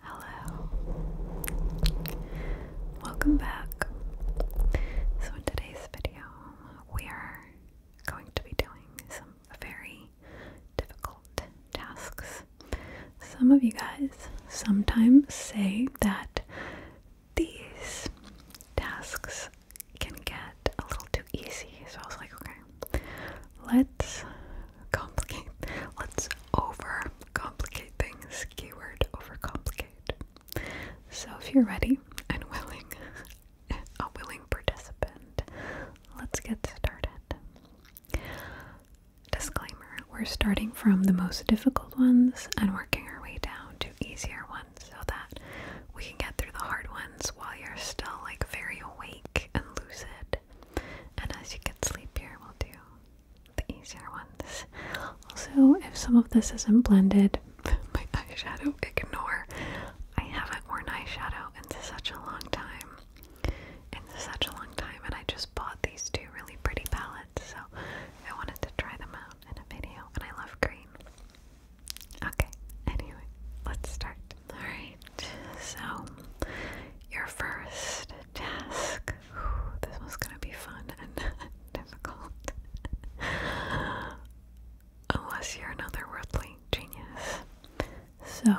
Hello. Welcome back. So, in today's video, we are going to be doing some very difficult tasks. Some of you guys sometimes say that these tasks can get a little too easy. So, I was like, okay, let's complicate, let's overcomplicate things. Keyword overcomplicate. So if you're ready and willing, a willing participant, let's get started. Disclaimer, we're starting from the most difficult ones and working our way down to easier ones so that we can get through the hard ones while you're still like very awake and lucid and as you get sleepier, we'll do the easier ones. Also, if some of this isn't blended, my eyeshadow, ignore. I haven't worn eyeshadow in such a long time. In such a long time, and I just bought these two really pretty palettes, so I wanted to try them out in a video. And I love green. Okay, anyway, let's start. Alright so your first task. this one's gonna be fun and difficult. Unless you're another worldly genius. So,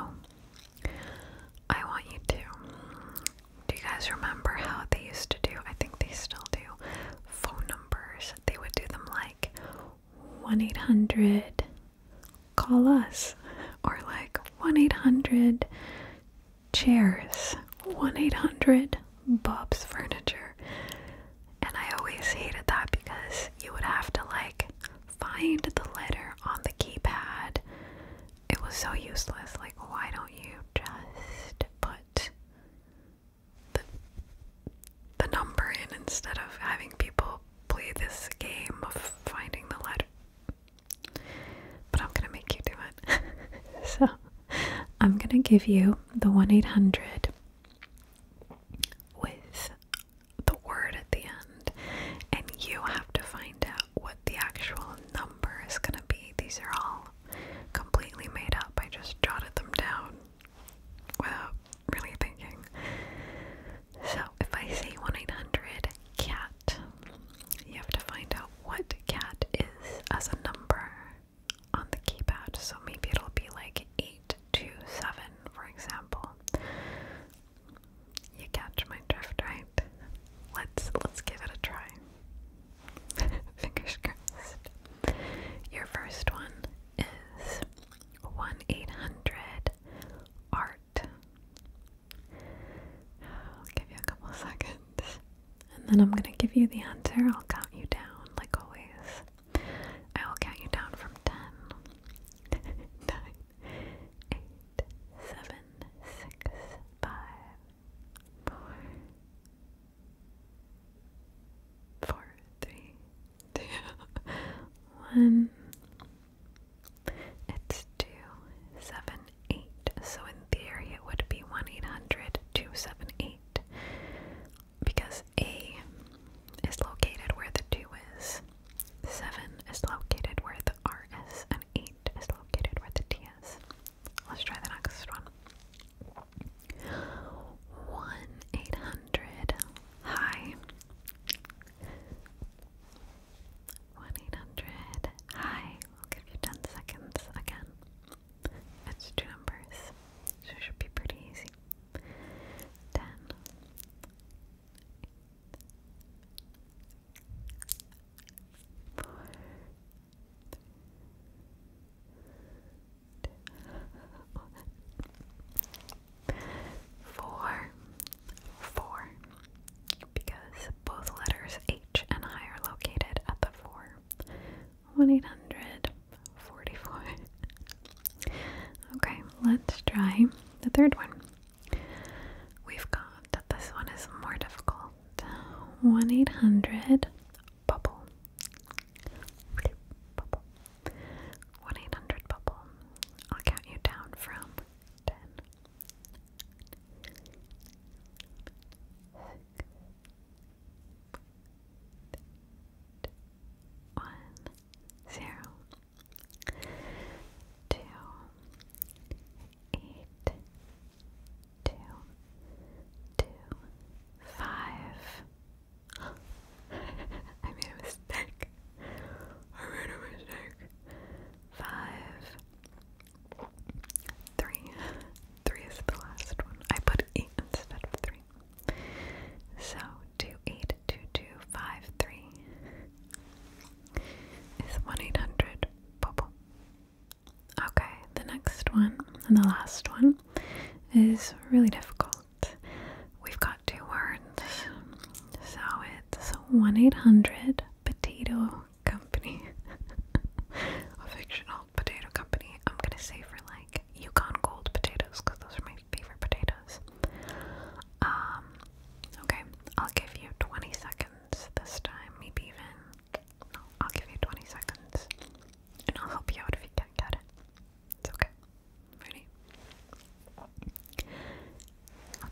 I want you to. Do you guys remember how they used to do? I think they still do phone numbers. They would do them like 1 800 call us or like 1-800 chairs 1-800 bob's furniture and i always hated that because you would have to like find the letter on the keypad it was so useless like why don't you just put the, the number in instead of having people play this game of finding the letter but I'm gonna make you do it. so I'm gonna give you the 1 800 with the word at the end, and you have to find out what the actual number is gonna be. These are all completely made up. I just jotted them down without really thinking. So if I say 1 800 cat, you have to find out what cat is as a number on the keypad. So maybe it'll be like 827, for example. You catch my drift, right? Let's let's give it a try. Fingers crossed. Your first one is 1 800 R I'll give you a couple seconds. And then I'm going to give you the answer. I'll count you down, like always. I will count you down from 10, it's 278, so in theory it would be 1 800 278 because A is located where the 2 is, 7 is located where the R is, and 8 is located where the T is. Let's try the next one. 1 800 Hi. 1-800. Hi. I'll give you 10 seconds again. It's two numbers, so it should be pretty easy. 10. Four. Four, four, because both letters H and I are located at the 4. 1 Okay, let's try the third one. We've got that this one is more difficult. 1 800 bubble. Bubble. 1 800 bubble. I'll count you down from 10, one, zero, two, eight, two, two, five. I made a mistake. I made a mistake. Five, Three. Three is the last one. I put eight instead of three. So two eight two two five three is one eight hundred bubble. Okay, the next one and the last one is really difficult. We've got two words. So it's one eight hundred potato company, a fictional potato company. I'm gonna say for like Yukon Gold potatoes because those are my favorite potatoes. Um, okay, I'll give you 20 seconds this time, maybe even. No, I'll give you 20 seconds and I'll help you out if you can't get it. It's okay. Ready?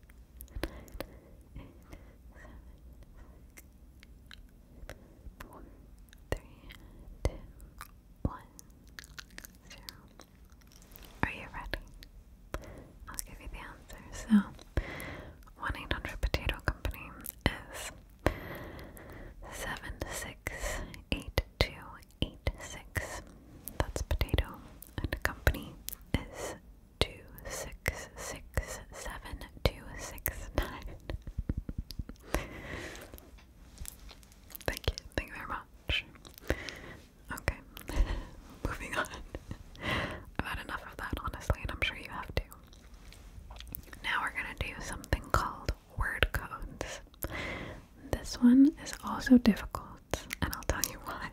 Are you ready? I'll give you the answer. So, 1 800 Potato Company is 768286. That's potato, and company is two six six seven two six nine. Thank you, thank you very much. Okay, moving on. I've had enough of that, honestly, and I'm sure you have too. Now we're gonna do something called word codes. This one is also difficult, and I'll tell you why.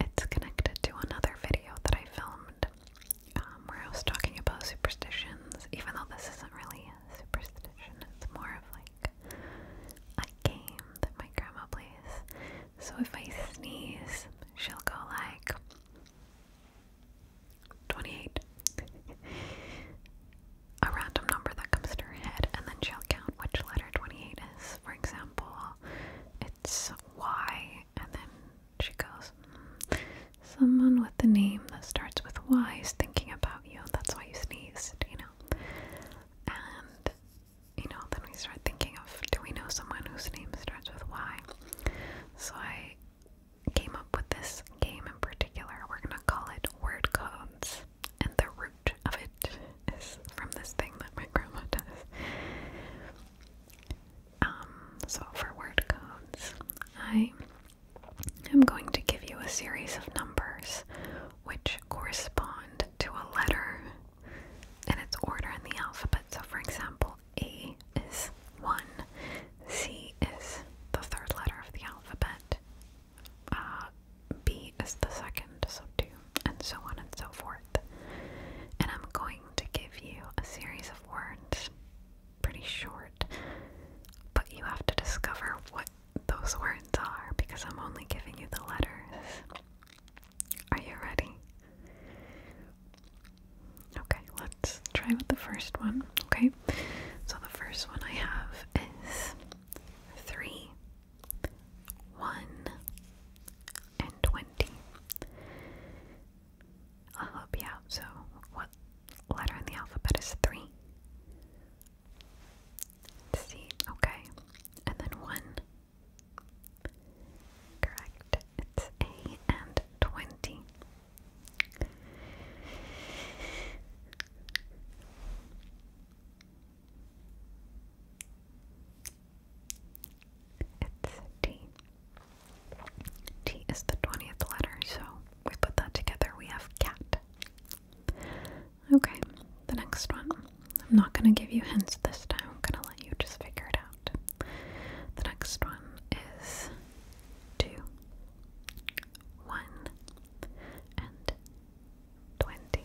It's connected to another video that I filmed um, where I was talking about superstitions, even though this isn't really a superstition, it's more of like a game that my grandma plays. So if I sneeze, she'll go like 28. a random number that comes to her head, and then she'll count which letter 28 for example, it's Y, and then she goes, Someone with a name that starts with Y is thinking about you, that's why you sneezed, you know? And, you know, then we start thinking of do we know someone whose name starts with Y? So I came up with this game in particular. We're gonna call it Word Codes. And the of it is from this thing that my grandma does. Um, so for word codes, I am going to give you a series of numbers which correspond to a letter and its order in the alphabet. So for example, A is 1, C is the third letter of the alphabet, uh, B is the second, so 2, and so on and so forth. And I'm going to give you a series of words, pretty short, but you have to discover what those words are because I'm only giving you the letters. Are you ready? Okay, let's try with the first one, okay? So the first one I have is three one and twenty. I'll help you out. So, what letter in the alphabet is three? C, okay. And then one. Correct. It's A and twenty. It's T. T is the 20th letter, so we put that together. We have cat. Okay, the next one. I'm not going to give you hints this time. I'm going to let you just figure it out. The next one is two, one, and twenty.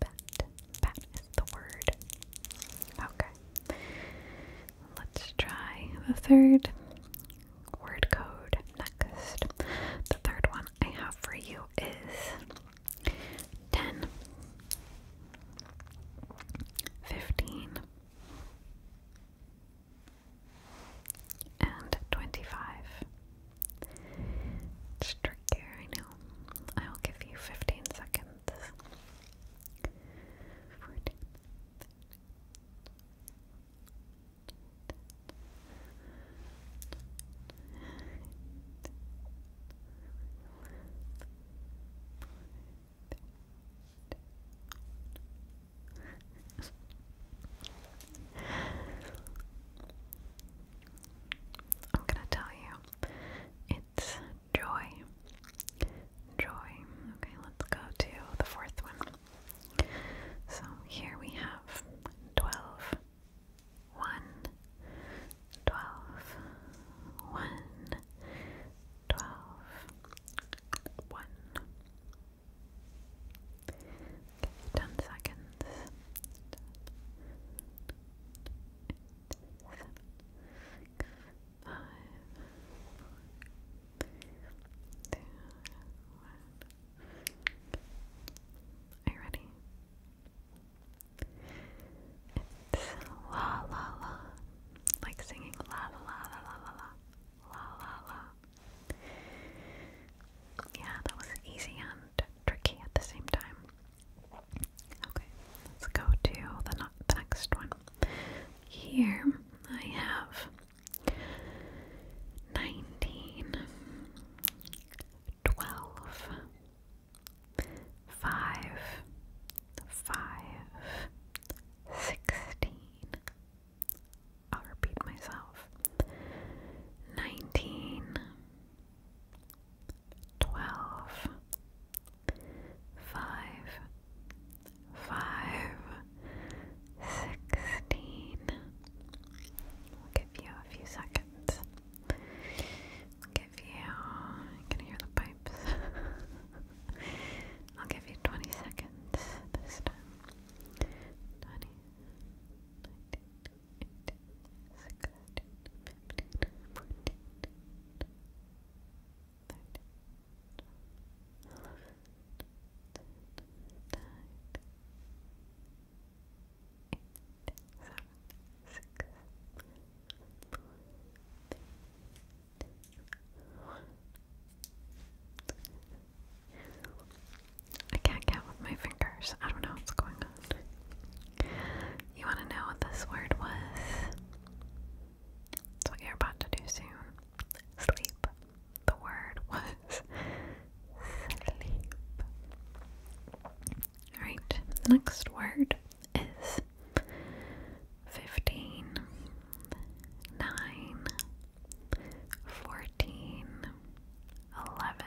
bat, bat is the word. Okay. Let's try the third word code next. The third one I have for you is 10, and 25. It's trickier, I know. I'll give you 15 seconds 14 I'm gonna tell you, it's joy. Joy. Okay, let's go to the fourth one. So here we have 12, 10 seconds. Are you ready? It's la la la, like singing la la la la la la la la la. Yeah, that was easy and tricky at the same time. Okay, let's go to the, next one. Here I have 19, 12, I'll repeat myself. 19, twelve, five, five, sixteen. I'll give you a few seconds. give you. I can hear the pipes. I'll give you 20 seconds this time. 20, I can't count with my fingers. I don't know what's going on. You want to know what this word was? That's what you're about to do soon. Sleep. The word was sleep. Alright, next word is fifteen, nine, fourteen, eleven.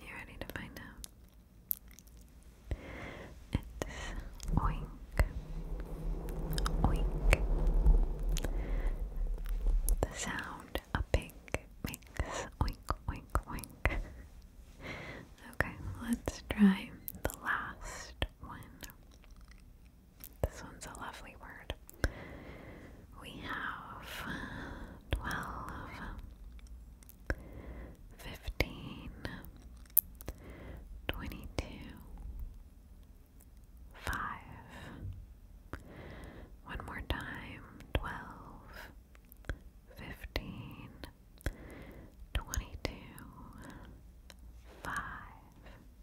You ready to find out? It's oink, oink. The sound a pig makes oink, oink, oink. okay, let's try the last one. This one's a lovely word. We have twelve, fifteen, twenty-two, five. One more time, twelve, fifteen, twenty-two, five.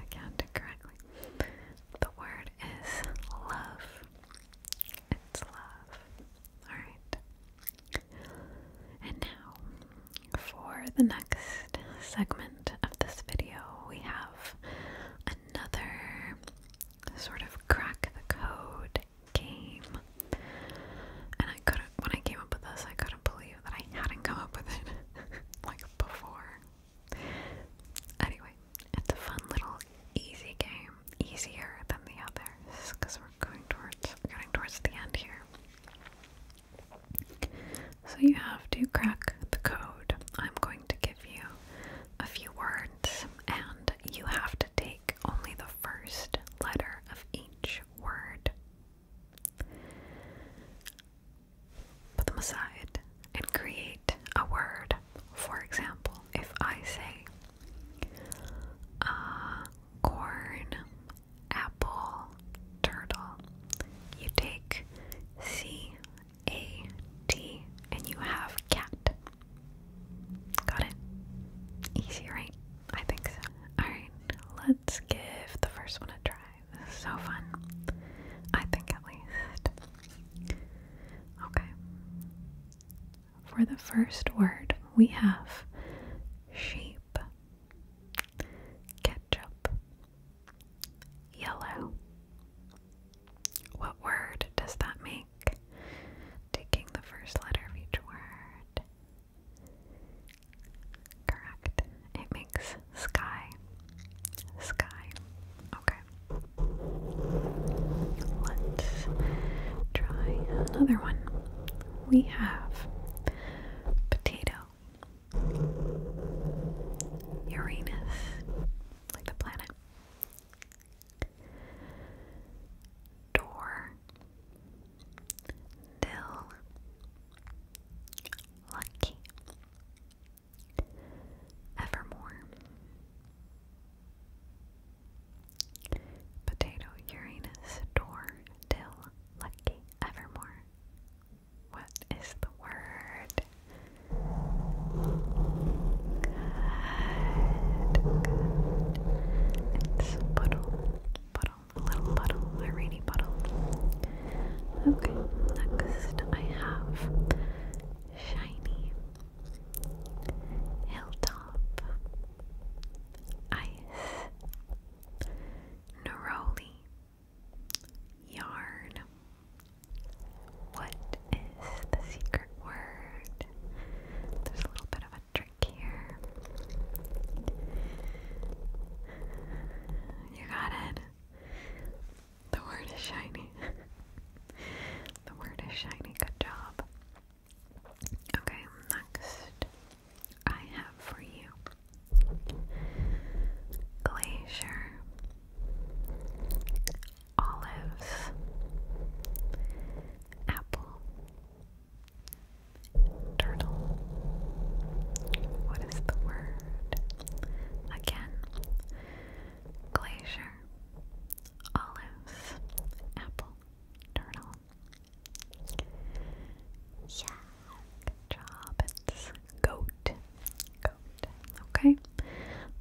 I counted correctly. The word is love. It's love. Alright. And now, for the next segment of this video, we have another sort of crack the code game. And I couldn't, when I came up with this, I couldn't believe that I hadn't come up with it like before. Anyway, it's a fun little easy game, easier than the other, because we're going towards, getting towards the end here. So you have to crack the code. I'm going to give you a few words, and you have to take only the first letter of each each word. Put them aside and create a word. For example, if I say corn, apple, turtle, you take C A T and you have cat. Got it? Easy, right? I think so. Alright, let's give the first one a try. This is so fun. I think at least. Okay. For the first word, we have sheep, ketchup, yellow. What word does that make? Taking the first letter of each word. Correct. It makes sky. Sky. Okay. Let's try another one. We have potato. Uranus. Like the planet. Door. Dill Lucky Evermore Potato Uranus Door Dill Lucky Evermore What is the word? good. It's puddle puddle, a little puddle, a rainy puddle. Okay, next I have shiny hilltop ice neroli yarn. What is the secret word? There's a little bit of electric You got it. The word is shiny. the word is shiny. Good job. Okay, next I have for you glacier, olives, apple, Turtle. What is the word? Again. Glacier. Olives. Apple. Turtle. Yeah. Good job. It's goat. Goat. Okay.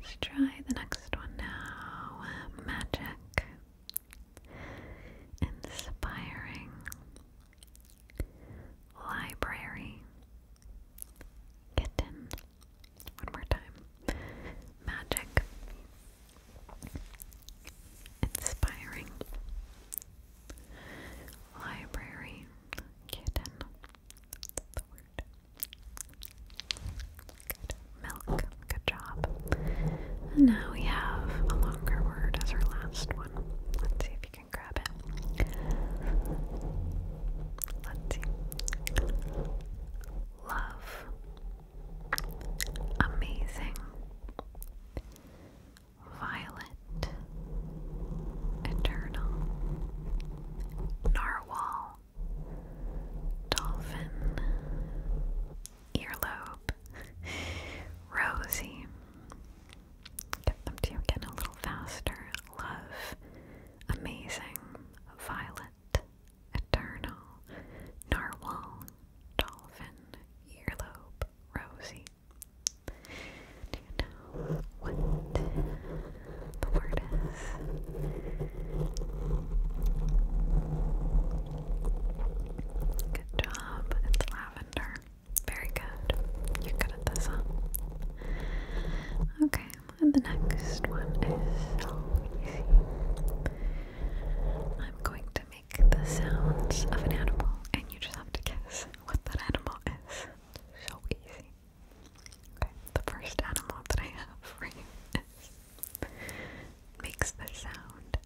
Let's try the next one now. Magic inspiring library kitten. One more time. Magic. Inspiring library kitten. the word. Good. Milk. Good job. And now we have a longer word as our last one. Let's see if you can grab it. Let's see. Love. Amazing. Violet. Eternal. Narwhal. Dolphin earlobe. Rosie. Get them to you again a little faster. Love. Amazing. Violet. Eternal. Narwhal. Dolphin. Earlobe. Rosie. Do you know what the word is? Good job lavender. Very good. You're good Okay, and the next one is so easy. I'm going to make the sounds of an animal, and you just have to guess what that animal is. So easy. Okay, the first animal that I have for you is makes the sound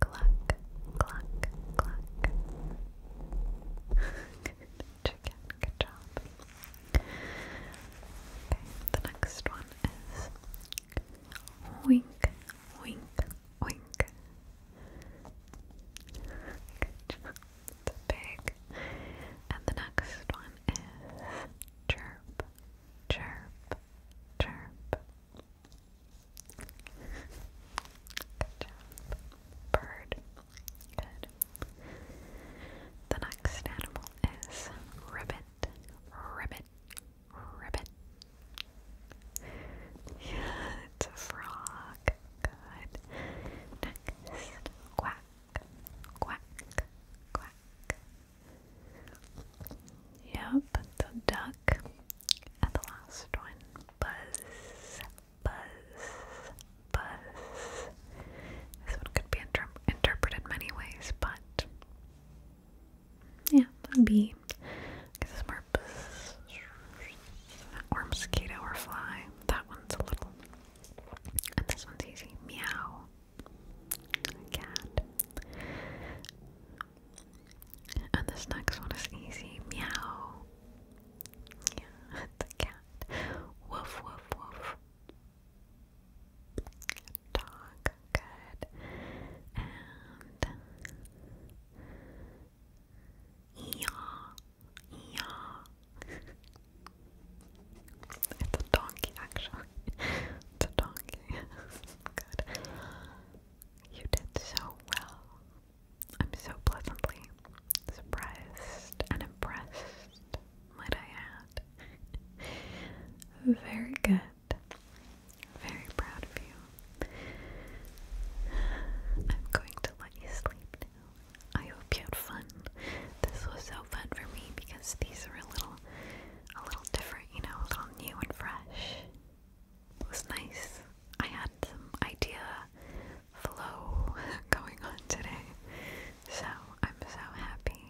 cluck, cluck, cluck. good job. the next one is wink, wink, wink. Good job. It's big. And the next one is chirp, chirp, chirp. Good job. Bird. Good. The next animal is ribbit. Ribbit. Ribbit. Yeah, it's a frog. Good. Next, quack, quack, quack. Yep, it's duck. And the last one, buzz, buzz, buzz. This one could be interpreted many ways, but yeah, that'd be because it's more buzz, or mosquito or fly. That one's a little, and this one's easy. Meow, cat. And this next one is easy. Meow. it's a cat. Woof, woof, woof. Dog. Good. And. Yaw. Yaw. it's a donkey, actually. it's a donkey. Good. You did so well. I'm so pleasantly surprised and impressed, might I add. Very good. Very proud of you. I'm going to let you sleep now. I hope you had fun. This was so fun for me because these are a little a little different, you know, a little new and fresh was nice. I had some idea flow going on today, so I'm so happy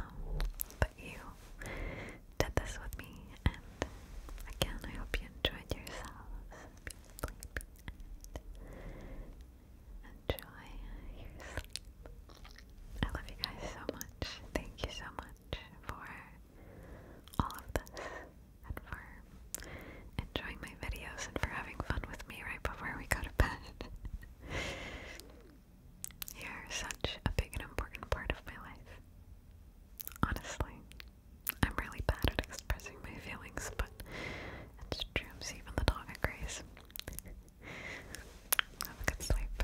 um, but you did this with me, and again, I hope you enjoyed yourselves. enjoy your sleep. I love you guys so much. Thank you so much for all of this and for enjoying my videos and for having fun with me right before we go to bed. You're such a big and important part of my life. Honestly, I'm really bad at expressing my feelings, but it's troops, even the dog agrees. Have a good sleep.